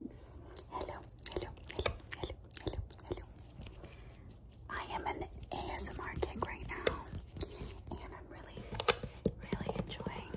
Hello, hello, hello, hello, hello, hello. I am an ASMR kick right now, and I'm really, really enjoying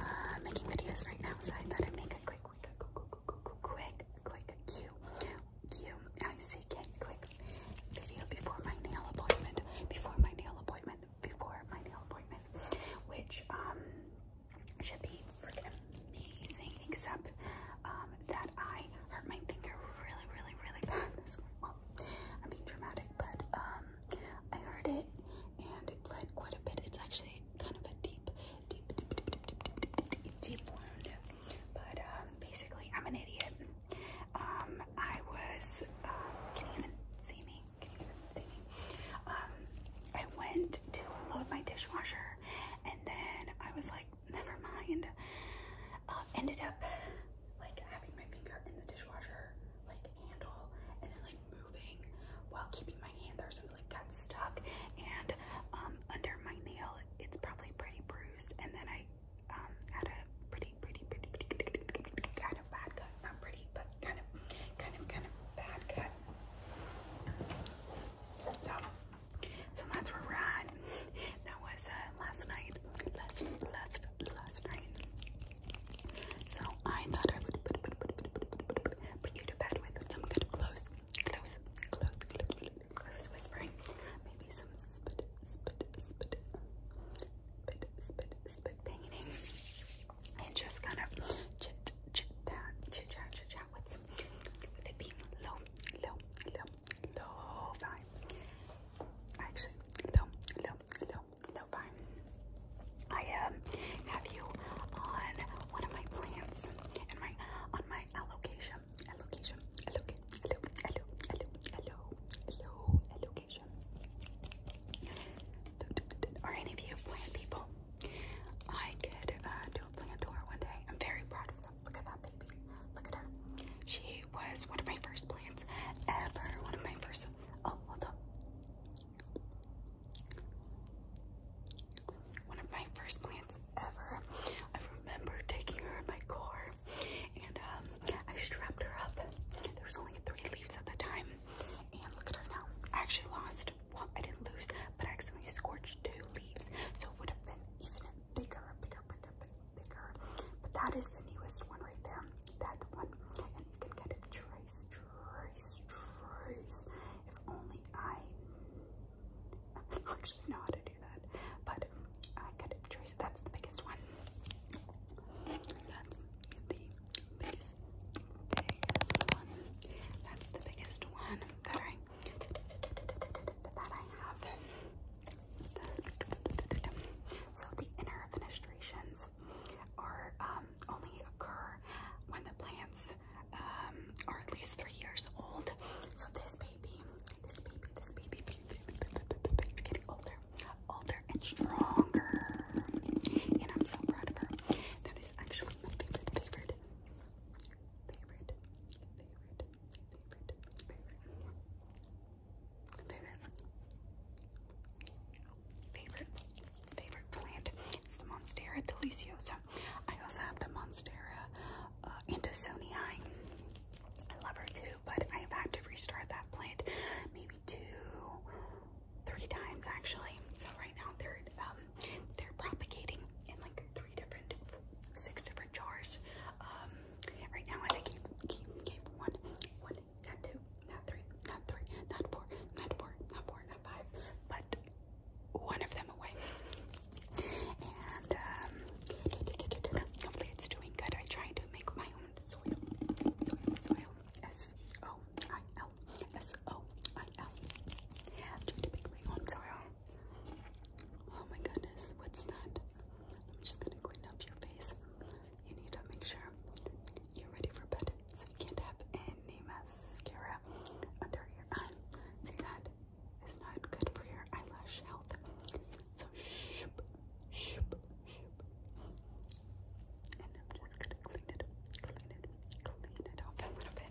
uh, making videos right now. So I thought I'd make a quick, quick, quick, quick, quick, quick, Q, Q, I C K, quick video before my nail appointment. Before my nail appointment. Before my nail appointment, which um should be freaking amazing, except um, that I hurt my finger really, really, really bad this morning. Well, I'm being dramatic, but um, I hurt it and it bled quite a bit. It's actually kind of a deep, deep, deep, deep, deep, deep, deep, deep, deep wound. But um, basically, I'm an idiot. Um, I was. Um, can you even see me? Can you even see me? Um, I went to load my dishwasher and then I was like, never mind. Uh, ended up like having my finger in the dishwasher like handle and then like moving while keeping my hand there so it like got stuck and um under my nail it's probably pretty bruised and then I um had a pretty pretty pretty pretty, pretty, pretty, pretty kind of bad cut. Not pretty but kind of kind of kind of bad cut. So, so that's where we're at. That was uh, last night. Last, last, last night. So I thought I would put, put, put, put, put, put, put, put you to bed with some good close, close, close, close, close whispering. Maybe some spit, spit, spit, spit, spit, spit painting, and just kind of chit, chit, chat, chit, chat, chit, chat with this with it being low, Actually, low, low, low, low vibe. I um have you on one of my plants and my on my allocation, allocation, allocation, allo, allo, allo, allo, allo, Are any of you plant people? I could uh, do a plant tour one day. I'm very proud of them. Look at that baby. Look at her. She was one of my first plants ever. One of my first. Oh, hold up. One of my first plants ever. I remember taking her in my car and um, I strapped her up. There was only three leaves at the time. And look at her now. I actually lost well, I didn't lose, but I accidentally scorched two leaves, so it would have been even bigger, bigger, bigger, bigger. But that is the newest one right there, that one, and you can get it trace, trace, trace. If only I, actually know how to do that, but I get it trace. That's the biggest one. That's the biggest, biggest one. That's the biggest one that so the inner fenestrations are um, only occur when the plants um, are at least three years old. So this baby, this baby, this baby, baby, baby, baby, baby is getting older, older and stronger. And I'm so proud of her. That is actually my favorite, favorite, favorite, favorite, favorite, favorite, favorite, favorite plant. It's the Monstera deliciosa. I also have the Monstera uh, Andersonii. I love her too, but I have had to restart that plant maybe two, three times actually. So right now they're um, they're propagating in like three three different, six different jars. Um, right now, I gave, gave, one, one, not two, not three, not three, not four, not four, not four, not five, but one of them away. And um, hopefully it's doing good. I try to make my own soil, soil, soil, S O I L, S O I L. Yeah, to make my own soil. Oh my goodness, what's that? I'm just gonna clean up your face. You need to make sure you're ready for bed, so you can't have any mascara under your eye. See that? It's not good for your eyelash health. So shoop, shoop, shoop. And I'm just gonna clean it, clean it, clean it off a little bit.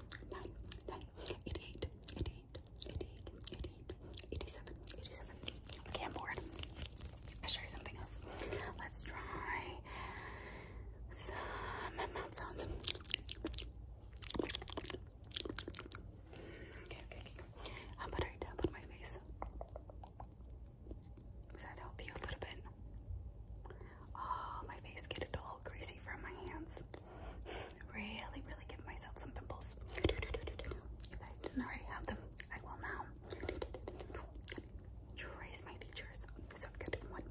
nine, nine, eighty-eight, eighty-eight, eighty-eight, eighty-eight, eighty-seven, eighty-seven. Okay, I'm I'll show you something else. Let's try some mouth sounds. Okay, okay, okay. How about I tap on my face? Does that help you a little bit? Oh, my face get a little greasy from my hands. really, really give myself some pimples. If I didn't already have them, I will now. Trace my features. So i one,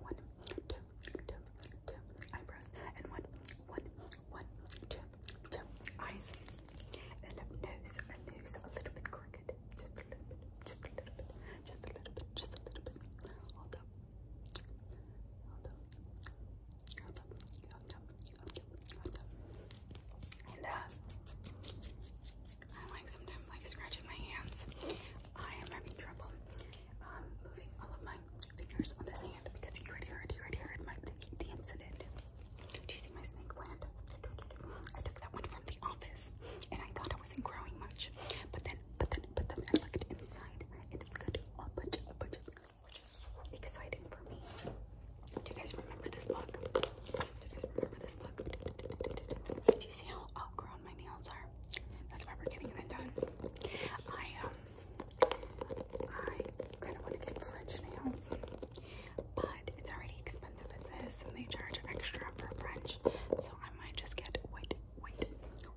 one, two, two, two eyebrows, and one, one, one, two, two eyes, and a nose, a nose a little bit crooked, just a little bit, just a little bit, just a little bit, just a little bit. Hold up, and, uh, I like sometimes like scratching my hands. I am having trouble um, moving all of my fingers on this hand because you already heard, you already heard my, the, the incident. Do you see my snake plant? I took that one from the office and I thought it wasn't growing much, but then but then but then I looked inside and it's got a bunch of bunches which is exciting for me. Do you guys remember this book? Do you guys remember this book? Do you see how outgrown my nails are? That's why we're getting them done. I um I kinda wanna get French nails. But it's already expensive as this and they charge extra for French. So I might just get white white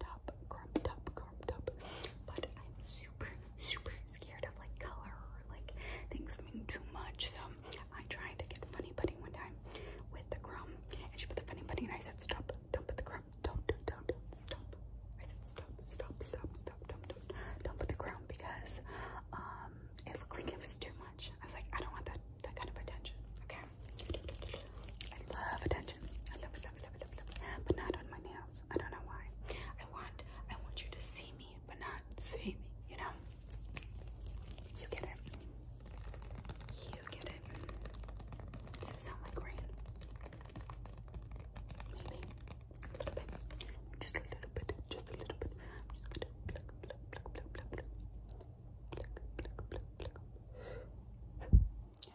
top, crop top, crop top. But I'm super, super scared of like color or like things being too much. So I tried to get funny putty one time with the crumb, and she put the funny putty, and I said, "Stop! Don't put the crumb! Don't, don't, don't, don't, stop!" I said, "Stop! Stop! Stop! Stop! Don't, don't, don't put the crumb because um it looked like it was too much." I was like, "I don't want that that kind of attention." Okay. I love attention. I love it, love it, love it, love it, love it. But not on my nails. I don't know why. I want I want you to see me, but not see me, you know? You get it. You get it. Does it sound like rain? Maybe. A little bit. Just a little bit. Just a little bit. I'm just gonna pluck, pluck, pluck, pluck, pluck, pluck. Pluck, pluck, pluck, pluck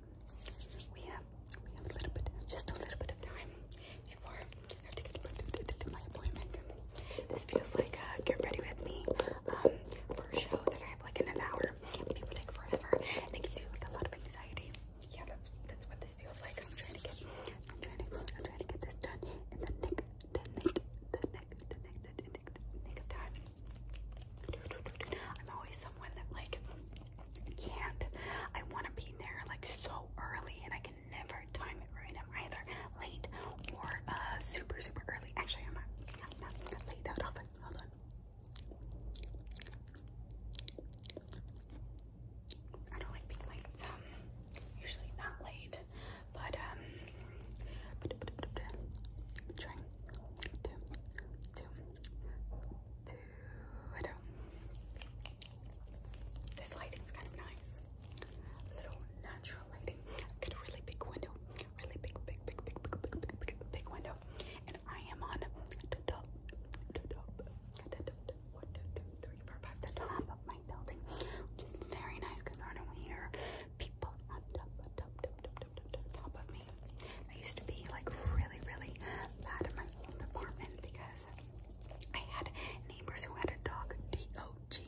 We have we have a little bit, just a little bit of time before I have to get to, my appointment. This feels like uh, get ready with me um, for a show that I have like in an hour, It would take forever, and it gives you like a lot of anxiety. Yeah, that's what this feels like. I'm trying to get, I'm trying to, I'm trying to get this done and then nick, the nick, the nick, the nick, the time. I'm always someone that like can't. I want to be there like so early, and I can never time it right. I'm either late or uh, super super early. Actually, I'm not, I'm not late that often. Hold on. I don't like being late. Um, usually not late, but um, two, two, two. This lighting's kind of nice. Little natural lighting. Got a really big window. Really big, big, big, big, big, big, big, window. And I am on the top, the top, the top, one, two, two, three, four, five, the top of my building, which is very nice because I don't hear people on top, top, top, top, top. I used to be like really, really bad in my own apartment because I had neighbors who had a dog, D-O-G,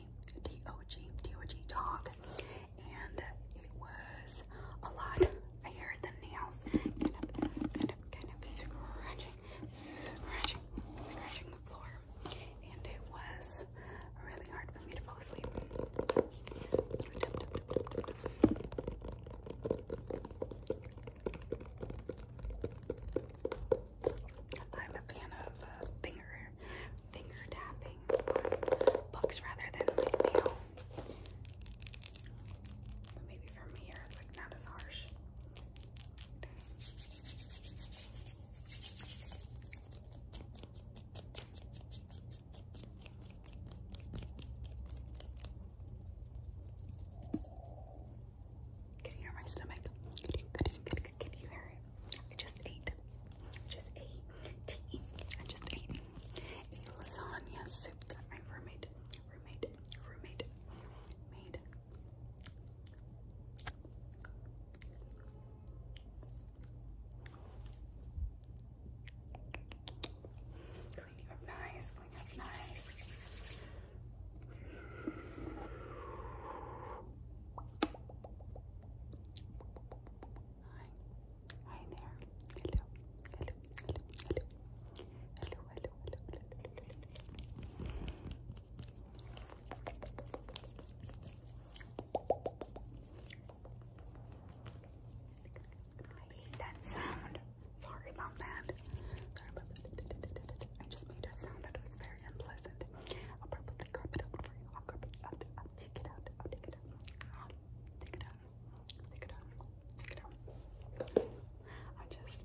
D-O-G, D-O-G dog, and it was a lot. I heard the nails kind of, kind of, kind of scratching, scratching, scratching the floor, and it was really hard for me to fall asleep. I'm a fan of uh, finger finger tapping books rather than like nail. maybe from here it's like not as harsh. Can you hear my stomach? Can you, can you, can you, hear it? I just ate. Just ate I just ate a lasagna soup my roommate, roommate, roommate made. Clean up nice, cleaning up nice. Hi. Hi there. Hello. Hello. Hello. Hello. Hello. Hello. Hello. Hello. hello that sound. Sorry about that. Sorry about that. I just made a sound that was very unpleasant. I'll probably carp it for you. I'll carp it out. I'll take it out. I'll take it out. take it out. Take it out. Take it out. I just,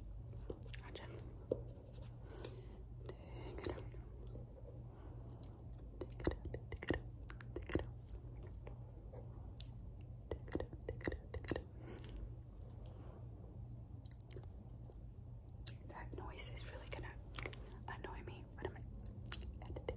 I just Take it out. Take it out. Take it out. Take it out that noise is really gonna annoy me when am editing,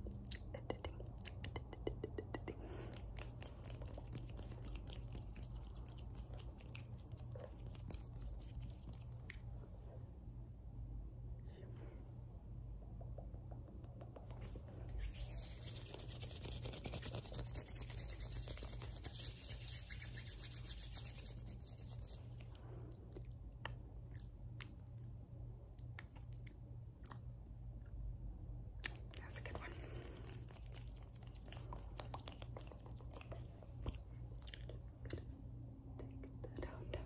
that's a good one. Just gonna take that out.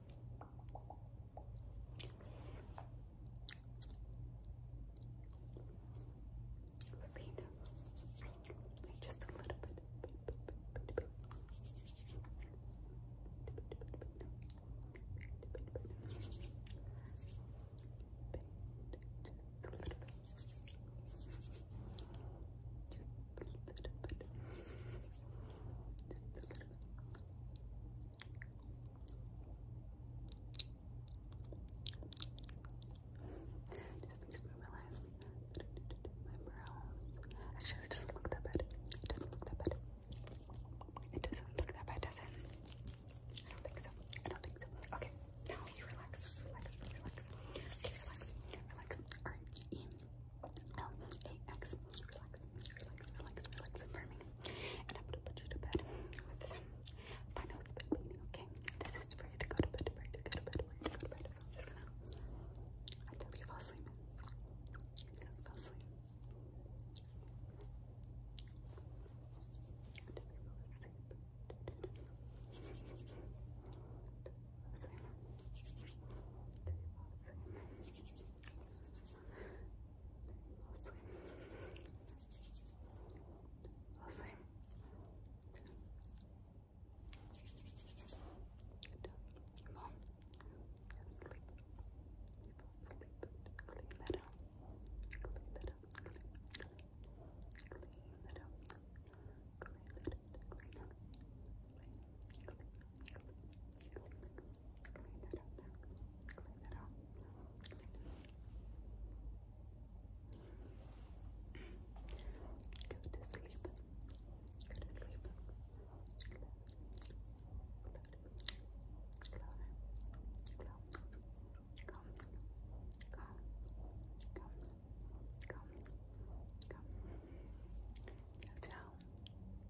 Repeat. Repeat Just a little bit. Just makes me realize my brows. Actually, it doesn't look that bad. It doesn't look that bad. It doesn't look that bad, does it? I don't think so. I don't think so. Okay, now you relax. Relax. Relax. relax. Relax. Alright. L-A-X, relax, relax, relax, relax, affirming. And I'm gonna put you to bed with this final cleaning, okay? This is for you to go to bed, for you to go to bed, for you to go to bed. So I'm just gonna, until you fall asleep, fall asleep. Until you fall fall asleep. fall asleep. I'll Mom, sleep. You fall asleep. Clean that up. Clean that up. Clean, that up. Clean that up. clean, clean. Clean that Go to sleep. Go to sleep.